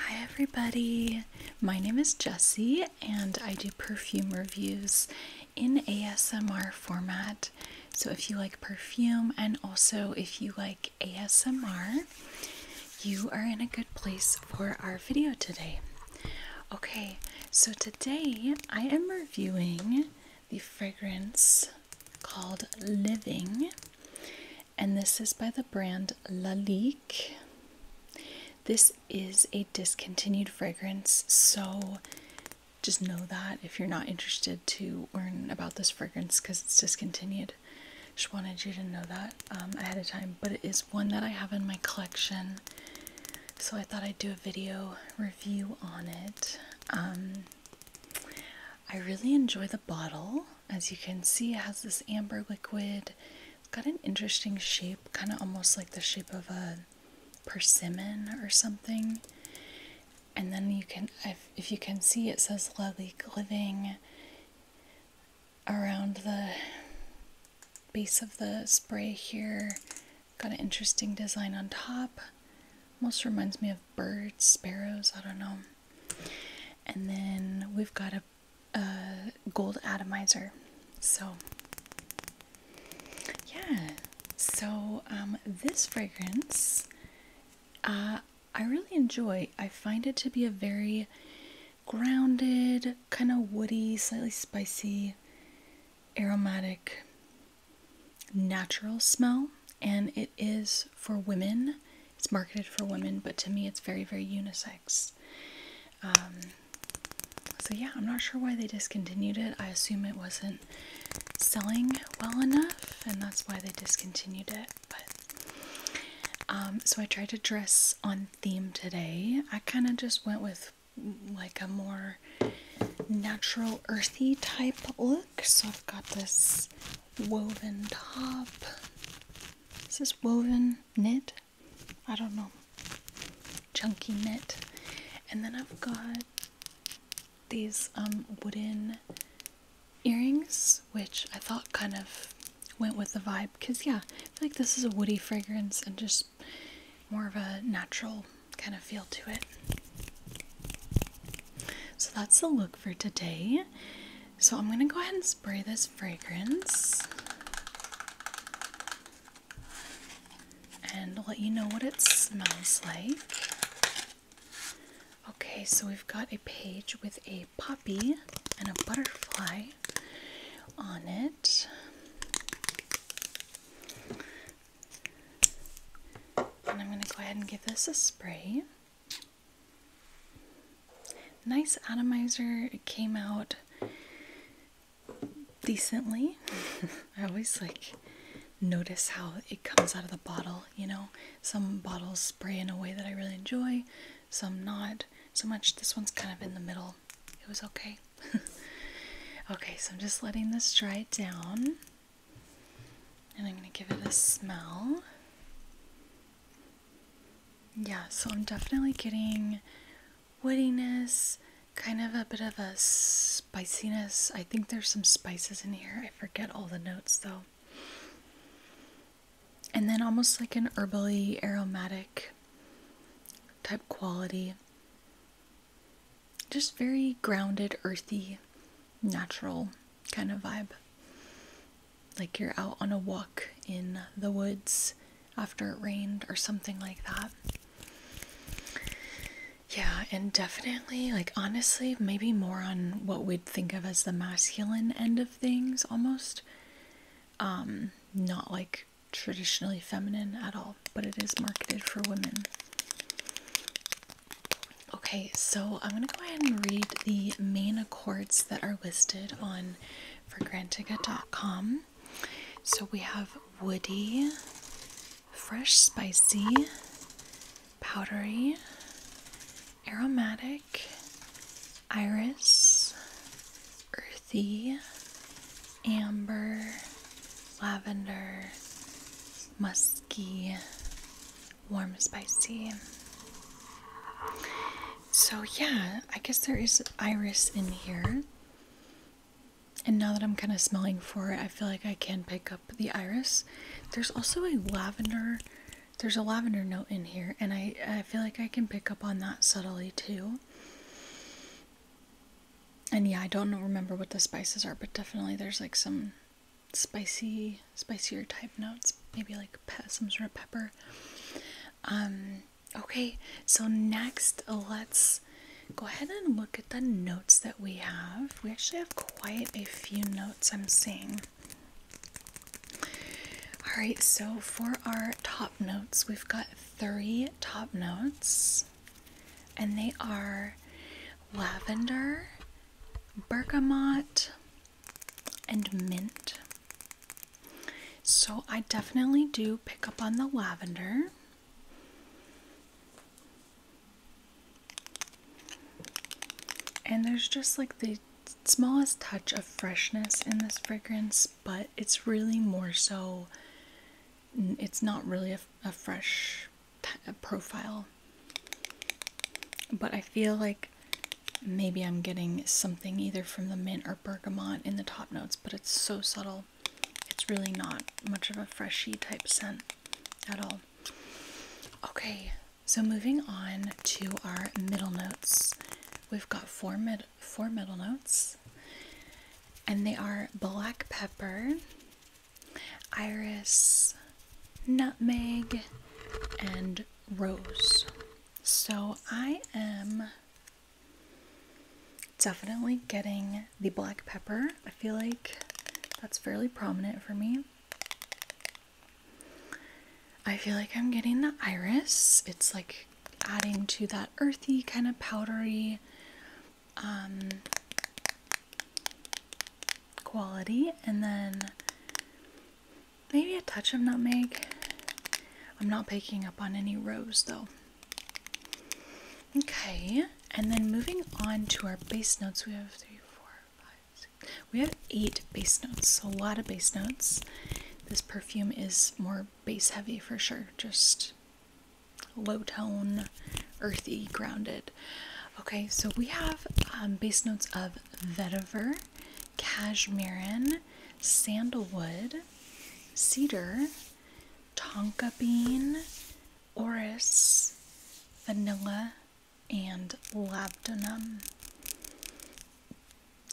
Hi, everybody. My name is Jessie, and I do perfume reviews in ASMR format. So, if you like perfume and also if you like ASMR, you are in a good place for our video today. Okay, so today I am reviewing the fragrance called Living and this is by the brand Lalique. This is a discontinued fragrance, so just know that if you're not interested to learn about this fragrance because it's discontinued. Just wanted you to know that um, ahead of time, but it is one that I have in my collection, so I thought I'd do a video review on it. Um, I really enjoy the bottle. As you can see, it has this amber liquid. It's got an interesting shape, kind of almost like the shape of a persimmon or something. And then you can, if, you can see, it says Lalique Living around the base of the spray here. Got an interesting design on top. Almost reminds me of birds, sparrows, I don't know. And then we've got a, gold atomizer. So, yeah. So, um, this fragrance, uh, I really enjoy. I find it to be a very grounded, kind of woody, slightly spicy, aromatic, natural smell. And it is for women it's marketed for women, but to me it's very, very unisex. Um, so yeah, I'm not sure why they discontinued it. I assume it wasn't selling well enough, and that's why they discontinued it. But um, so I tried to dress on theme today. I kind of just went with like a more natural earthy type look so I've got this woven top. Is this woven knit? I don't know. Chunky knit. And then I've got these um, wooden earrings, which I thought kind of went with the vibe. Because, yeah, like this is a woody fragrance and just more of a natural kind of feel to it. So that's the look for today. So I'm going to go ahead and spray this fragrance and let you know what it smells like. Okay, so we've got a page with a poppy and a butterfly on it. And I'm going to go ahead and give this a spray. Nice atomizer. It came out decently. I always like notice how it comes out of the bottle, you know. Some bottles spray in a way that I really enjoy, some not so much. This one's kind of in the middle. It was okay. okay, so I'm just letting this dry down. And I'm going to give it a smell. Yeah, so I'm definitely getting woodiness, kind of a bit of a spiciness. I think there's some spices in here. I forget all the notes though. And then almost like an herbally aromatic type quality just very grounded, earthy, natural kind of vibe. Like you're out on a walk in the woods after it rained or something like that. Yeah, and definitely, like honestly, maybe more on what we'd think of as the masculine end of things almost. Um, not like traditionally feminine at all, but it is marketed for women. Okay, so I'm going to go ahead and read the main accords that are listed on fragrantica.com. So we have woody, fresh spicy, powdery, aromatic, iris, earthy, amber, lavender, musk warm spicy. So yeah, I guess there is iris in here. And now that I'm kind of smelling for it, I feel like I can pick up the iris. There's also a lavender, there's a lavender note in here, and I, I feel like I can pick up on that subtly too. And yeah, I don't remember what the spices are, but definitely there's like some spicy, spicier type notes, maybe like some sort of pepper. Um, okay, so next let's go ahead and look at the notes that we have. We actually have quite a few notes I'm seeing. All right, so for our top notes, we've got three top notes and they are lavender, bergamot, and mint. So I definitely do pick up on the lavender. And there's just like the smallest touch of freshness in this fragrance, but it's really more so, it's not really a, fresh profile. But I feel like maybe I'm getting something either from the mint or bergamot in the top notes, but it's so subtle. It's really not much of a freshy type scent at all. Okay, so moving on to our middle notes. We've got four mid four middle notes, and they are black pepper, iris, nutmeg, and rose. So I am definitely getting the black pepper. I feel like that's fairly prominent for me. I feel like I'm getting the iris. It's like adding to that earthy kind of powdery um, quality, and then maybe a touch of nutmeg. I'm not picking up on any rose though. Okay, and then moving on to our base notes, we have three, four, five, six. We have eight base notes, a lot of base notes. This perfume is more base heavy for sure, just low tone, earthy, grounded. Okay, so we have um, base notes of vetiver, cashmeran, sandalwood, cedar, tonka bean, orris, vanilla, and labdanum.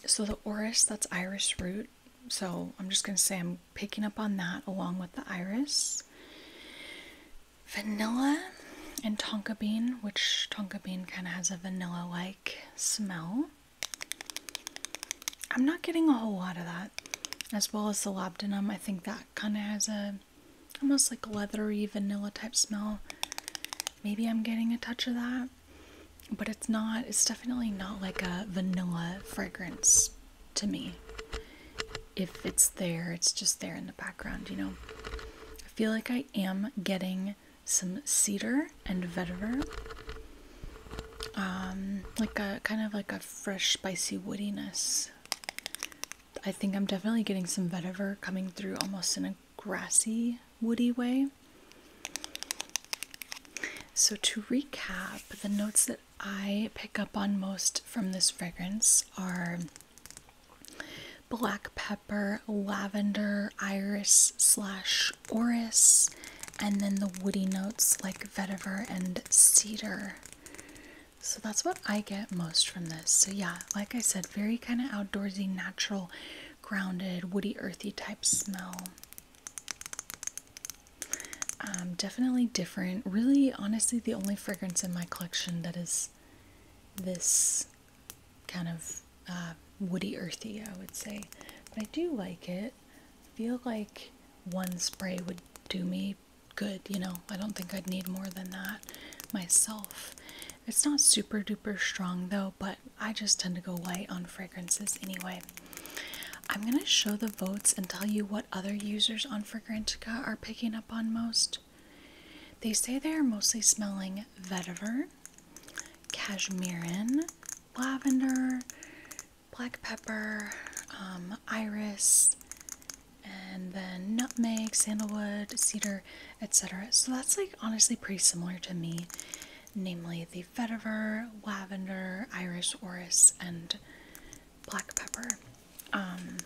So the orris, that's Irish root. So I'm just going to say I'm picking up on that along with the iris. Vanilla and tonka bean, which tonka bean kind of has a vanilla like smell. I'm not getting a whole lot of that, as well as the labdanum. I think that kind of has a almost like leathery vanilla type smell. Maybe I'm getting a touch of that, but it's not, it's definitely not like a vanilla fragrance to me. If it's there, it's just there in the background, you know. I feel like I am getting some cedar and vetiver. Um, like a kind of like a fresh, spicy woodiness. I think I'm definitely getting some vetiver coming through almost in a grassy, woody way. So, to recap, the notes that I pick up on most from this fragrance are black pepper, lavender, iris slash orris, and then the woody notes like vetiver and cedar. So that's what I get most from this. So yeah, like I said, very kind of outdoorsy, natural, grounded, woody, earthy type smell. Um, definitely different. Really, honestly, the only fragrance in my collection that is this kind of uh, woody earthy, I would say. But I do like it. I feel like one spray would do me good, you know. I don't think I'd need more than that myself. It's not super duper strong though, but I just tend to go light on fragrances anyway. I'm going to show the votes and tell you what other users on Fragrantica are picking up on most. They say they are mostly smelling vetiver, cashmerean, lavender, black pepper, um, iris, and then nutmeg, sandalwood, cedar, etc. So that's like honestly pretty similar to me namely the vetiver, lavender, Irish orris, and black pepper. Um,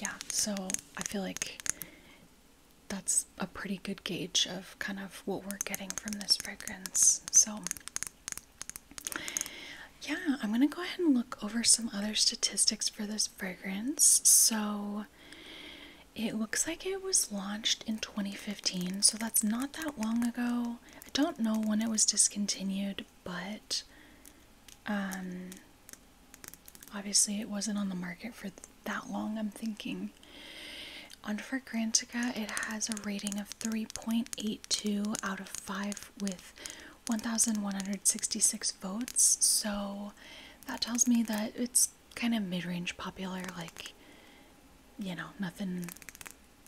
yeah, so I feel like that's a pretty good gauge of kind of what we're getting from this fragrance. So, yeah, I'm gonna go ahead and look over some other statistics for this fragrance. So, it looks like it was launched in 2015, so that's not that long ago. I don't know when it was discontinued, but um, obviously it wasn't on the market for that long, I'm thinking. On Fragrantica, it has a rating of 3.82 out of 5 with 1,166 votes, so that tells me that it's kind of mid range popular, like, you know, nothing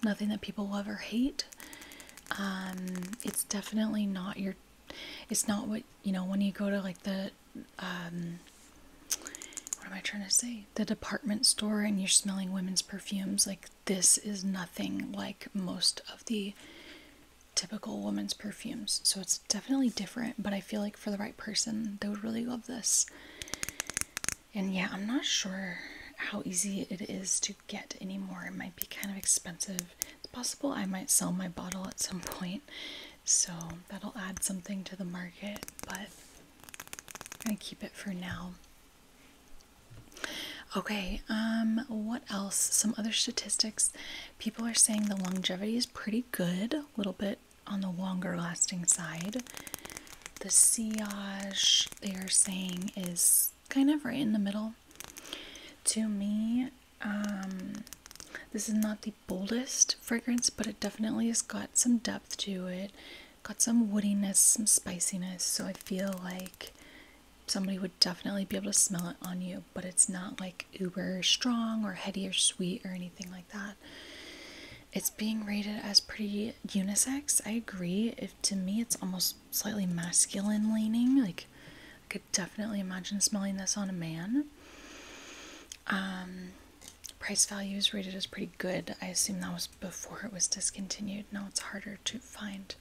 nothing that people love or hate. Um, it's definitely not your, it's not what, you know, when you go to like the, um, what am I trying to say? The department store and you're smelling women's perfumes. Like this is nothing like most of the typical women's perfumes. So it's definitely different, but I feel like for the right person, they would really love this. And yeah, I'm not sure how easy it is to get anymore. It might be kind of expensive. It's possible I might sell my bottle at some point. So that'll add something to the market, but I'm gonna keep it for now. Okay, um, what else? Some other statistics. People are saying the longevity is pretty good, a little bit on the longer lasting side. The siage they are saying is kind of right in the middle. To me, um, this is not the boldest fragrance, but it definitely has got some depth to it, got some woodiness, some spiciness. So I feel like somebody would definitely be able to smell it on you, but it's not like uber strong or heady or sweet or anything like that it's being rated as pretty unisex. I agree. If to me it's almost slightly masculine leaning, like I could definitely imagine smelling this on a man. Um, price value is rated as pretty good. I assume that was before it was discontinued. Now it's harder to find.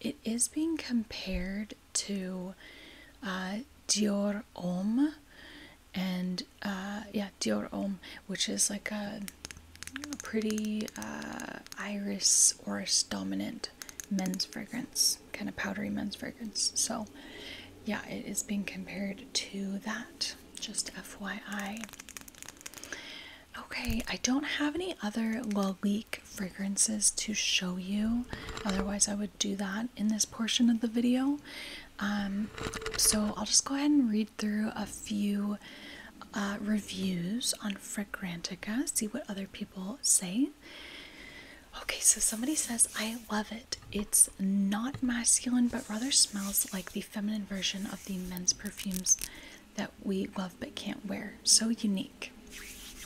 It is being compared to uh, Dior Homme and uh, yeah, Dior Homme, which is like a, pretty uh, iris oris dominant men's fragrance, kind of powdery men's fragrance. So, yeah, it is being compared to that. Just FYI. Okay, I don't have any other Lalique fragrances to show you. Otherwise, I would do that in this portion of the video. Um, so I'll just go ahead and read through a few uh, reviews on Fragrantica, see what other people say. Okay, so somebody says, I love it. It's not masculine, but rather smells like the feminine version of the men's perfumes that we love but can't wear. So unique.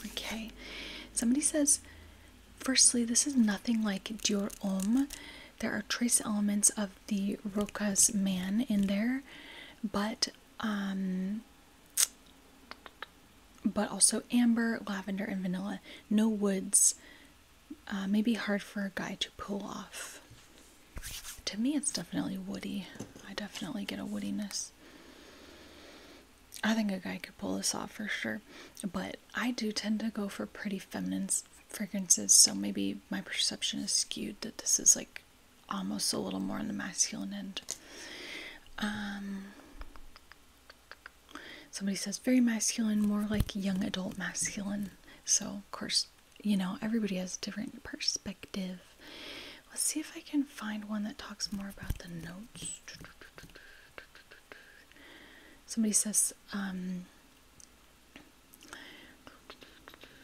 Okay, somebody says, firstly, this is nothing like Dior Homme there are trace elements of the Roca's man in there, but um, but also amber, lavender, and vanilla. No woods. Uh, may be hard for a guy to pull off. To me, it's definitely woody. I definitely get a woodiness. I think a guy could pull this off for sure, but I do tend to go for pretty feminine fragrances, so maybe my perception is skewed that this is like almost a little more on the masculine end. Um, somebody says very masculine, more like young adult masculine. So, of course, you know, everybody has a different perspective. Let's see if I can find one that talks more about the notes. Somebody says, um,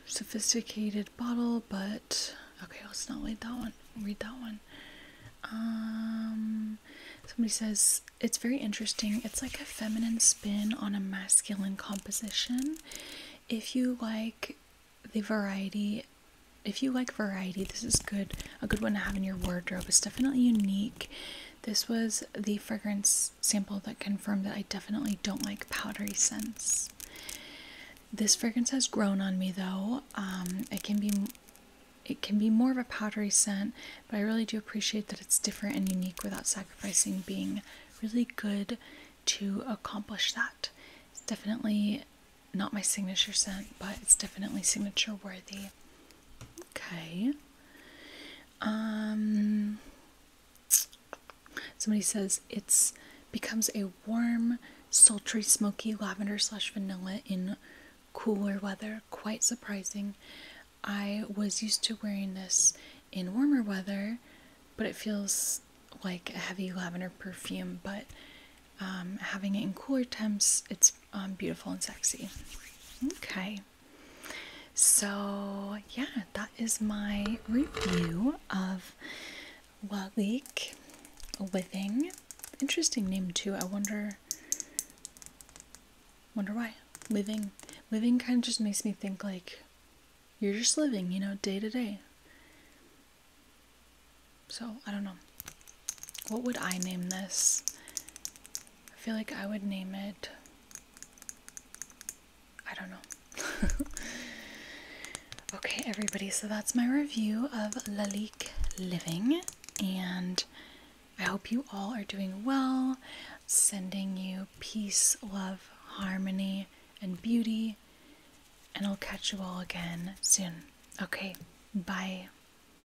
sophisticated bottle, but okay, let's not read that one. Read that one. Um, somebody says it's very interesting. It's like a feminine spin on a masculine composition. If you like the variety, if you like variety, this is good. A good one to have in your wardrobe. It's definitely unique this was the fragrance sample that confirmed that I definitely don't like powdery scents. This fragrance has grown on me though. Um, it can be it can be more of a powdery scent, but I really do appreciate that it's different and unique without sacrificing being really good to accomplish that. It's definitely not my signature scent, but it's definitely signature worthy. Okay. Um, somebody says it's becomes a warm, sultry, smoky lavender slash vanilla in cooler weather. Quite surprising. I was used to wearing this in warmer weather, but it feels like a heavy lavender perfume. But um, having it in cooler temps, it's um, beautiful and sexy. Okay. So, yeah, that is my review of Walik Withing. Interesting name too. I wonder wonder why. Living living kind of just makes me think like you're just living, you know, day to day. So, I don't know. What would I name this? I feel like I would name it. I don't know. okay, everybody, so that's my review of Lalique Living, and I hope you all are doing well. Sending you peace, love, harmony, and beauty, and I'll catch you all again soon. Okay, bye.